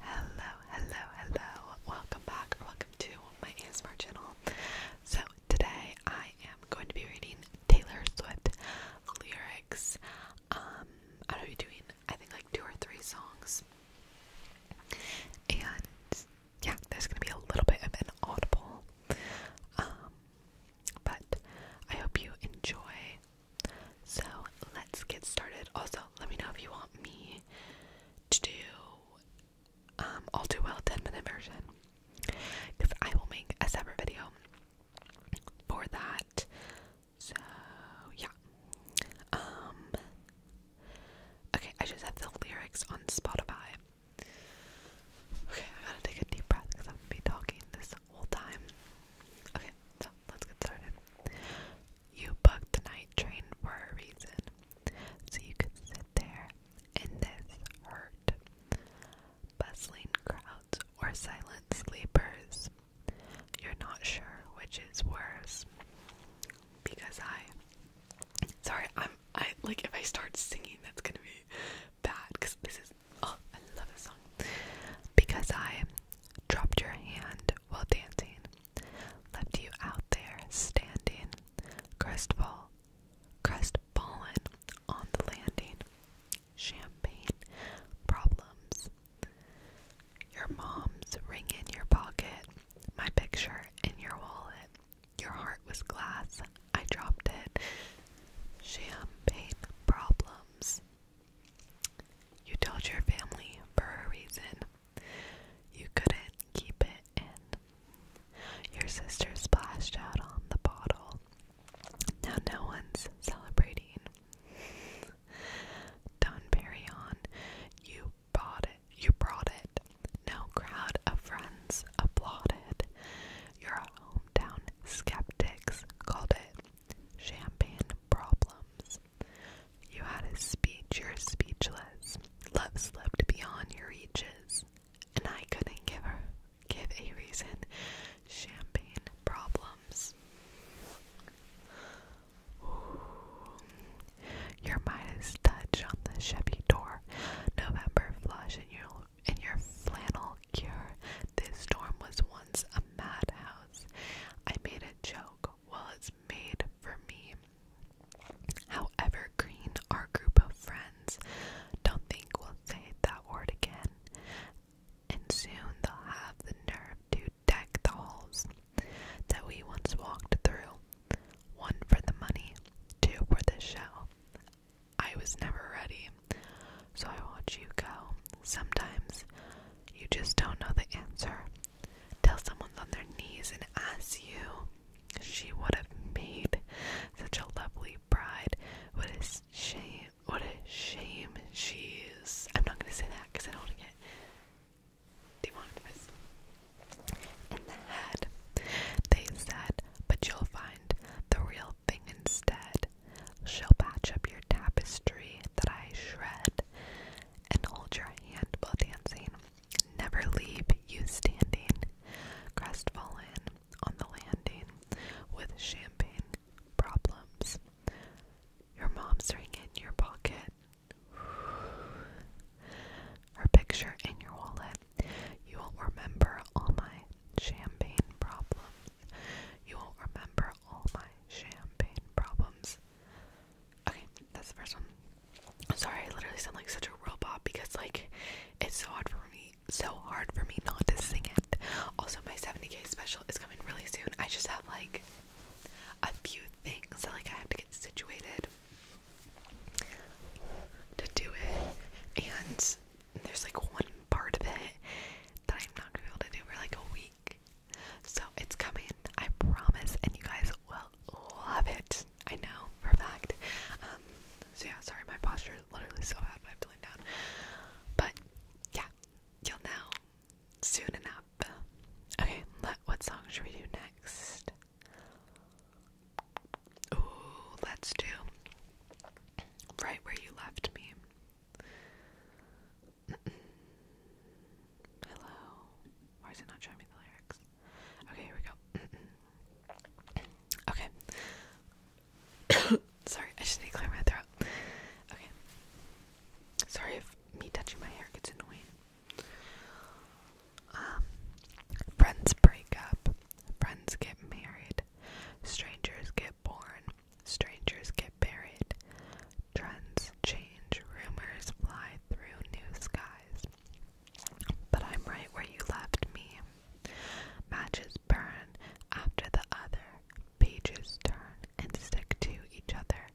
Hello, hello, hello. Welcome back welcome to my ASMR channel. So today I am going to be reading Taylor Swift lyrics. Um, I'll be doing I think like two or three songs. And yeah, there's gonna be a little bit of an audible. Um but I hope you enjoy so let's get started. Also, let me know if you want me to do um, all do well 10 minute version because I will make a separate video for that. So, yeah. Um, okay, I just have the lyrics on Spotify. Okay, I gotta take a deep breath because I'm gonna be talking this whole time. Okay, so let's get started. You booked the night train for a reason, so you could sit there in this hurt. Bustling crowds or silent sleepers. You're not sure which is worse. Because I. Sorry, I'm. I like if I start singing, that's gonna be bad. Because this is Oh, I love this song. Because I dropped your hand while dancing, left you out there standing, crestfall, crestfallen on the landing. Champagne problems. Your mom's ring in your pocket, my picture in your wallet. Your heart was glass, I dropped it. Champagne problems. You told your family for a reason. You couldn't keep it in. Your sister splashed out on the bottle. Now no one's celebrating. Don Perignon, you brought it. You brought it. No crowd of friends applauded. Your hometown skeptics called it Champagne problems. You had a speech, you're speechless. Love slipped beyond your reaches, and I couldn't give her give a reason. Champagne problems. Ooh. Your Midas touch on the Chevy door. November flush and you in your flannel cure. This storm was once a madhouse. I made a joke. Well, it's made for me. However, green, our group of friends, don't think we'll say that word again. And soon they'll have the nerve to deck the halls that we once walked through. One for the money, two for the show. I was never ready. So I watch you go. Sometimes you just don't know the answer. Tell someone on their knees and ask you. She would have made such a lovely bride. What a shame. What a shame she is. I'm not going to say that because I don't want to get demonetized. In the head, they said, but you'll find the real thing instead. She'll patch up your tapestry that I shred and hold your hand while dancing. Never leave you standing, crestfallen on the landing with champagne problems. Your mom's ring in your pocket, her picture in your wallet. You will remember all my champagne problems. You will remember all my champagne problems. Okay, that's the first one. I'm sorry, I literally sound like such a robot because like it's so hard for me, so hard for me not to sing it. Also, my 70k special is coming really soon. I just have like a few things that like I have to get situated to do it, and there's like one part of it that I'm not gonna be able to do for like a week. So it's coming, I promise, and you guys will love it. I know for fact. Um, so yeah, sorry, my posture is literally so bad, I have to lean down. But yeah, you'll know soon enough. Okay, what song should we do next? let's do right where you left me. Hello. Why is it not showing me the lyrics? Okay, here we go. okay. Sorry, I just need to clear my throat. Okay. Sorry if me touching my hair gets annoying. Um, friends break up, friends get married, Strangers get born. Strangers get buried. Trends change. Rumors fly through new skies. But I'm right where you left me. Matches burn after the other. Pages turn and stick to each other.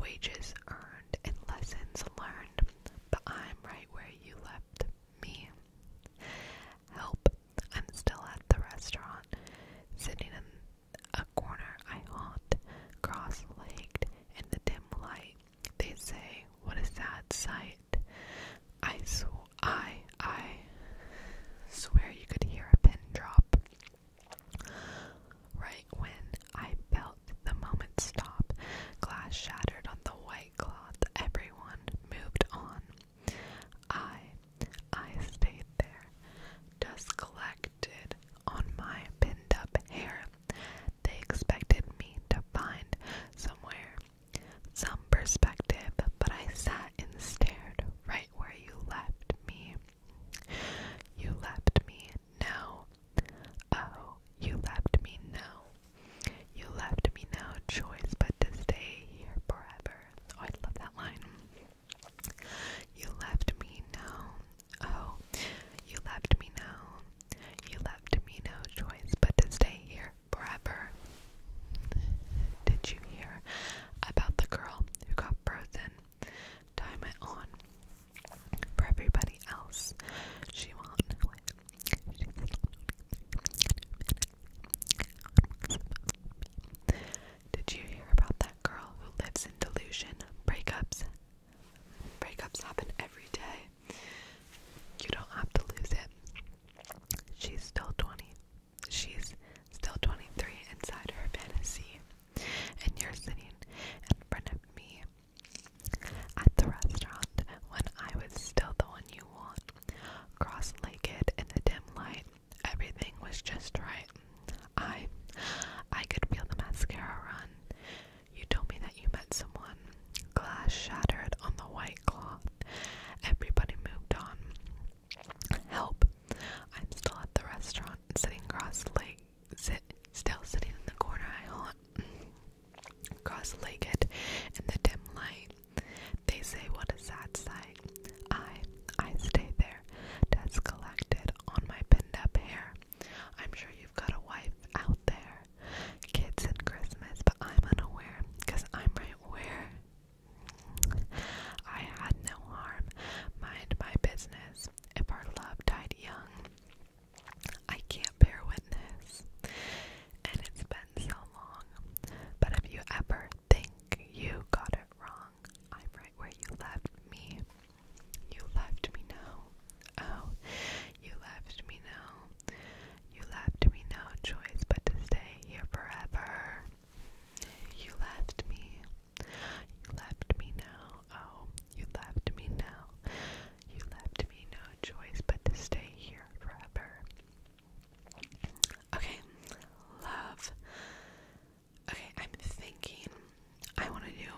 Wages earned and lessons learned. But I'm right where you left me. Help! I'm still at the restaurant, sitting in a corner I haunt, cross legged in the dim light. They say, What a sad sight. I, sw I, I swear you could hear a pin drop. Right when I felt the moment stop, glass shattered on the white everyone moved on. I, I stayed there, just collected on my pinned up hair. They expected me to find somewhere, some perspective, but I sat and stared right where you left me. You left me now. Oh, you left me now. You left me no choice but to stay here forever. Oh, I love that line. You left me no. Oh, you left me no. You left me no choice but to stay here forever. Did you hear about the girl who got frozen? Time it on for everybody else. She won't know it. She's not did you hear about that girl who lives in delusion? Breakups. Breakups happen every day. You don't have to lose it. She's still 20. She's still 23 inside her fantasy. And you're sitting in front of me at the restaurant, when I was still the one you want, cross legged in the dim light, everything was just right. I I could feel the mascara run. You told me that you met someone. Glass shattered on the white cloth. Everybody moved on. Help! I'm still at the restaurant, sitting cross legged, sit, still sitting in the corner I haunt cross-legged in the dim light. They say what a sad sight. I, I stay there, dust collected on my pinned-up hair. I'm sure you've got a wife out there, kids and Christmas, but I'm unaware, cause I'm right where. I had no harm, mind my business. If our love died young, I can't bear witness, and it's been so long. But if you ever think you got it wrong, I'm right where you left me. You left me no. Oh, you left me no. You left me no choice but to stay here forever. You left me. You left me now. Oh, you left me now. You left me no choice but to stay here forever. Okay, love. Okay, I'm thinking I want to do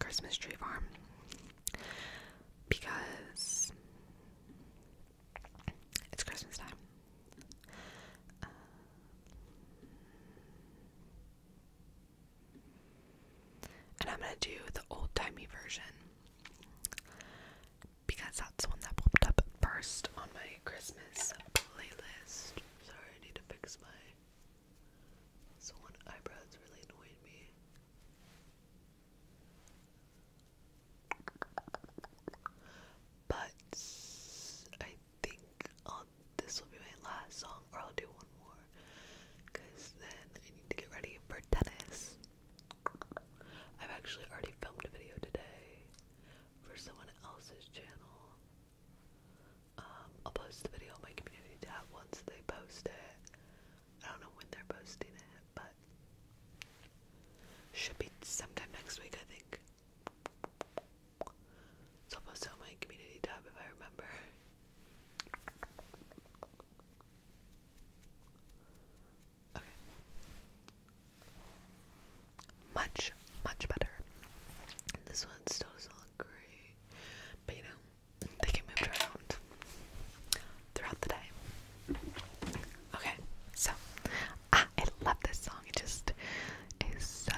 Christmas Tree Farm because it's Christmas time. Um, and I'm gonna do the old timey version because that's the one that popped up first on my Christmas playlist. Sorry, I need to fix my. So eyebrows really annoyed me. But I think this will be my last song, or I'll do one more because then I need to get ready for tennis. I've actually already filmed a video today for someone else's channel. Um, I'll post the video on my community tab once they post it. I don't know when they're posting it, but should be sometime next week, I think. So I'll post it on my community tab if I remember. Okay. Much, much better. This one still does great, but you know, they get moved around throughout the day. Okay, so ah, I love this song. It just is so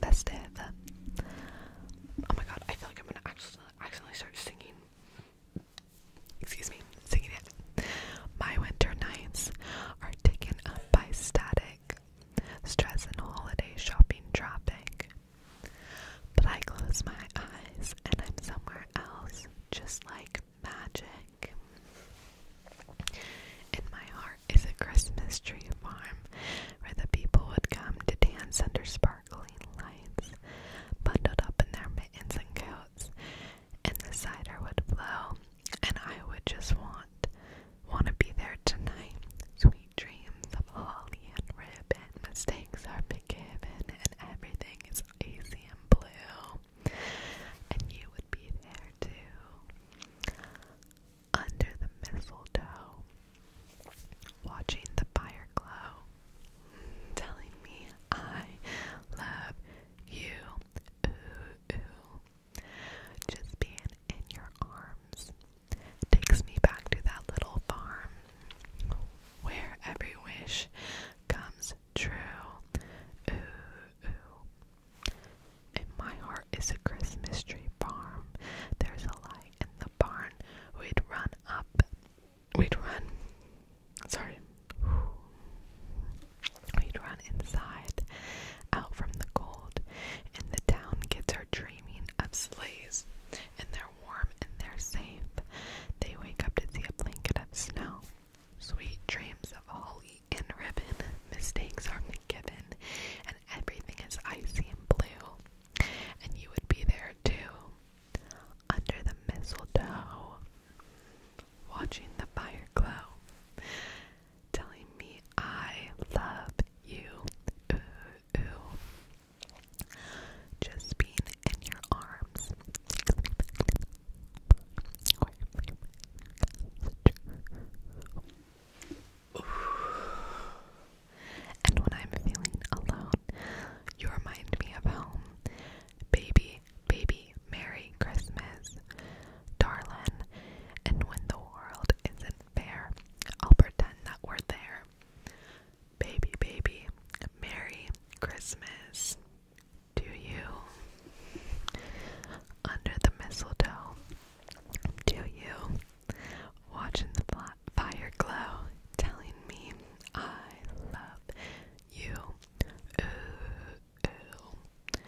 festive. Oh my god, I feel like I'm gonna I accidentally start singing. Excuse me, singing it. My winter nights are taken up by static, stress, and holiday shopping traffic. But I close my eyes and I'm somewhere else, just like magic. In my heart is a Christmas tree farm where the people would come to dance under sparkles sparkling lights, bundled up in their mittens and coats, and the cider would blow, and I would just want, want to be there tonight. Sweet dreams of holly and ribbon, mistakes are forgiven, and everything is easy and blue, and you would be there too. Under the mistletoe, watching the fire glow, telling me I love you. Just being in your arms takes me back to that little farm where every wish comes true. And my heart is a Christmas tree farm. There's a lot in the barn, we'd run up. We'd run. Sorry. We'd run inside, out from the cold, and the town kids are dreaming of sleighs, and they're warm and they're safe. They wake up to see a blanket of snow, sweet dreams of holly and ribbon. Mistakes are forgiven, and everything is icy and blue and you would be there too, under the mistletoe, watching the fire glow, telling me I love you. Just being in your arms. And when I'm feeling alone, you remind me of home. Baby, baby, Merry Christmas, darling. And when the world isn't fair, I'll pretend that we're there. Baby, baby, Merry Christmas to you. Under the mistletoe, to you watching the fire glow, telling me I love you. Ooh, ooh.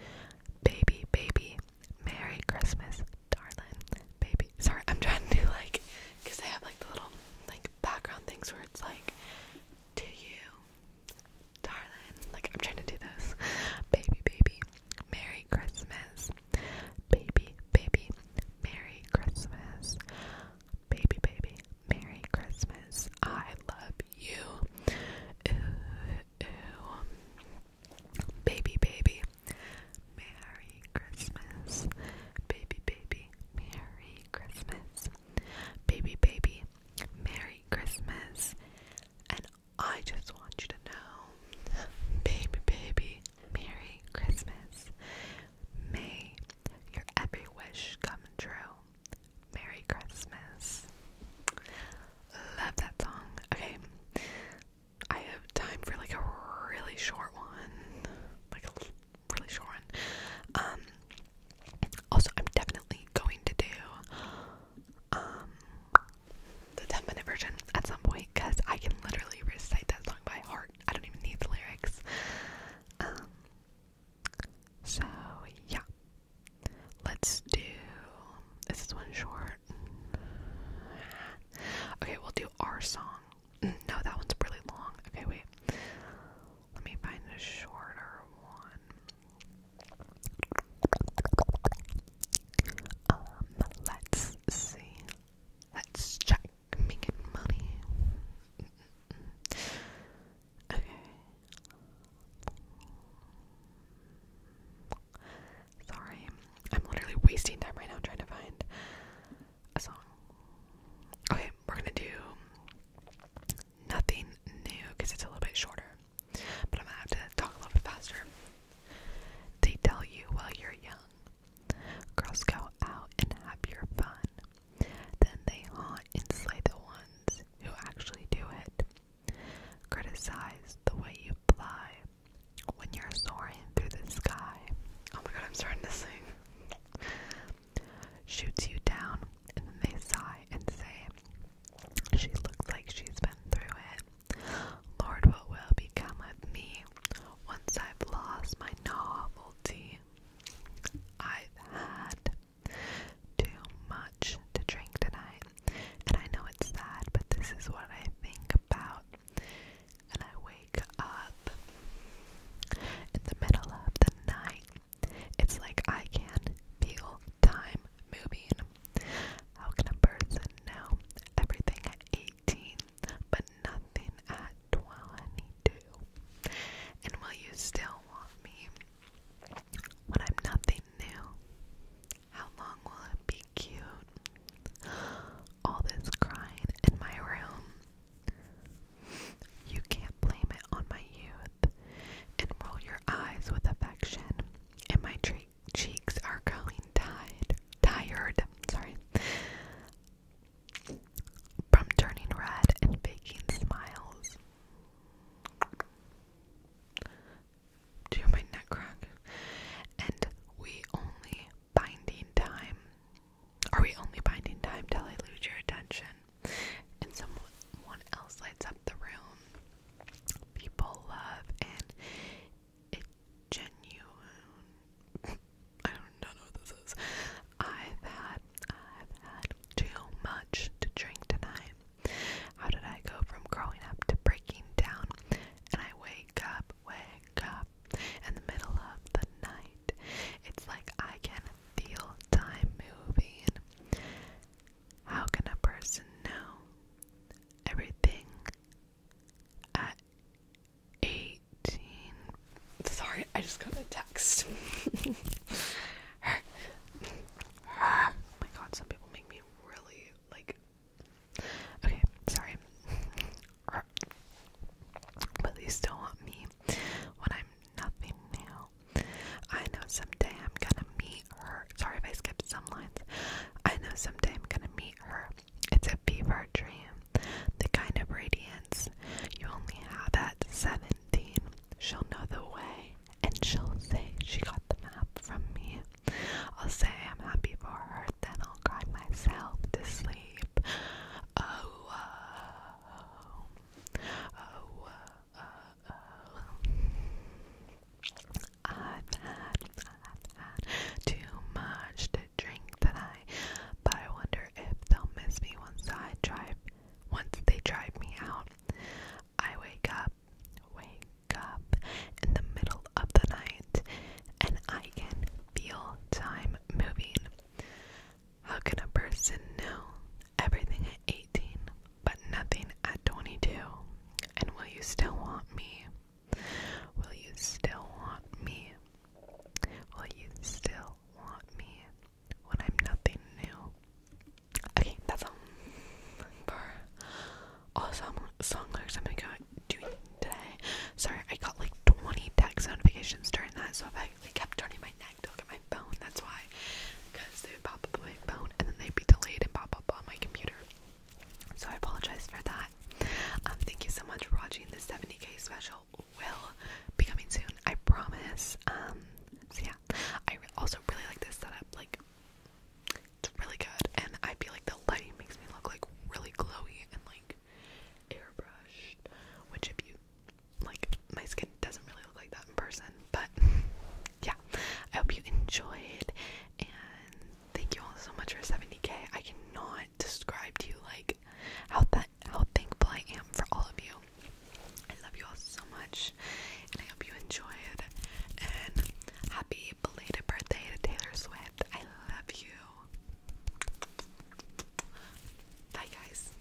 Baby, baby, Merry Christmas, darling. Baby, sorry, I'm trying to do like, because I have like the little like background things where it's like, to you, darling. Like, I'm trying to do this. Baby, baby, Merry Christmas. Baby, baby, Merry Christmas. Baby, baby, Merry Christmas. I love you. Ew, Baby, baby, Merry Christmas. Baby, baby, Merry Christmas. Baby, baby, Merry Christmas. I just want you to know, baby, baby, Merry Christmas. May your every wish come true. Merry Christmas. Love that song. Okay, I have time for like a really short one, like a really short one. Um, also, I'm definitely going to do um, the 10 minute version at some point because I can literally recite that song by heart. I don't even need the lyrics. Um, so, yeah. Let's do. Is this one short? Okay, we'll do our song. Mm, no, that one's really long. Okay, wait. Let me find a shorter one. Um, let's see. Let's check making money. Okay. Sorry, I'm literally wasting time right now trying to find a song. Okay, we're gonna do nothing new because it's a little bit shorter but I'm gonna have to talk a little bit faster. They tell you while you're young, girls go out and have your fun. Then they haunt and slay the ones who actually do it. Criticize the way you fly when you're soaring through the sky. Oh my god, I'm starting to sing. Shoots you down, and they sigh and say, She looks like she's been through it. Lord, what will become of me once I've lost my novelty? I've had too much to drink tonight, and I know it's sad, but this is what I think about. And I wake up in the middle of the night. It's like I can feel time I'm moving. How can a person know everything at 18 but nothing at 22? And will you still want me when I'm nothing new? How long will it be cute? All this crying in my room. You can't blame it on my youth. And roll your eyes with affection in my treat cheeks are going tired, tired, sorry, from turning red and faking smiles. Do you neck crack? And we only binding time. Are we only binding time till I lose your attention? And someone else lights up the room people love and genuine I don't know what this is. I've had I've had too much to drink tonight. How did I go from growing up to breaking down? And I wake up, wake up in the middle of the night. It's like I can feel time moving. How can a person know everything at 18? Sorry, I just got a text. Oh my god, some people make me really like. Okay, sorry. But they still want me when I'm nothing now. I know someday I'm gonna meet her. Sorry if I skipped some lines. I know someday I'm gonna meet her. It's a fever dream. The kind of radiance you only have at 17. She'll know the way, and she'll say she got the map from me. I'll say I'm happy for her, then I'll cry myself to sleep. Oh, oh, oh, oh, oh. Uh, uh, i I've had too much to drink tonight, but I wonder if they'll miss me once I drive, once they drive me out. I wake up, wake up in the middle of the night, and I can feel time moving. How can a person know everything at 18? but nothing at 22. And will you still want me? Will you still want me? Will you still want me when I'm nothing new? Okay, that's all for all song, song lyrics I'm gonna go doing today. Sorry, I got like 20 text notifications during that, so if I like, kept turning my neck to look at my phone, that's why. Because they would pop up on my phone and then they'd be delayed and pop up on my computer. So I apologize for that. Um, thank you so much for watching the 70k special. Will be coming soon, I promise. Um, so yeah, I also really like this setup. Like, it's really good, and I feel like the lighting makes me look like really glowy and like airbrushed. Which, if you like my skin doesn't really look like that in person, but yeah, I hope you enjoyed and thank you all so much for 70k. I cannot describe to you like how that how thankful I am for all of you. I love you all so much and I hope you enjoyed and happy belated birthday to Taylor Swift. I love you. Bye guys.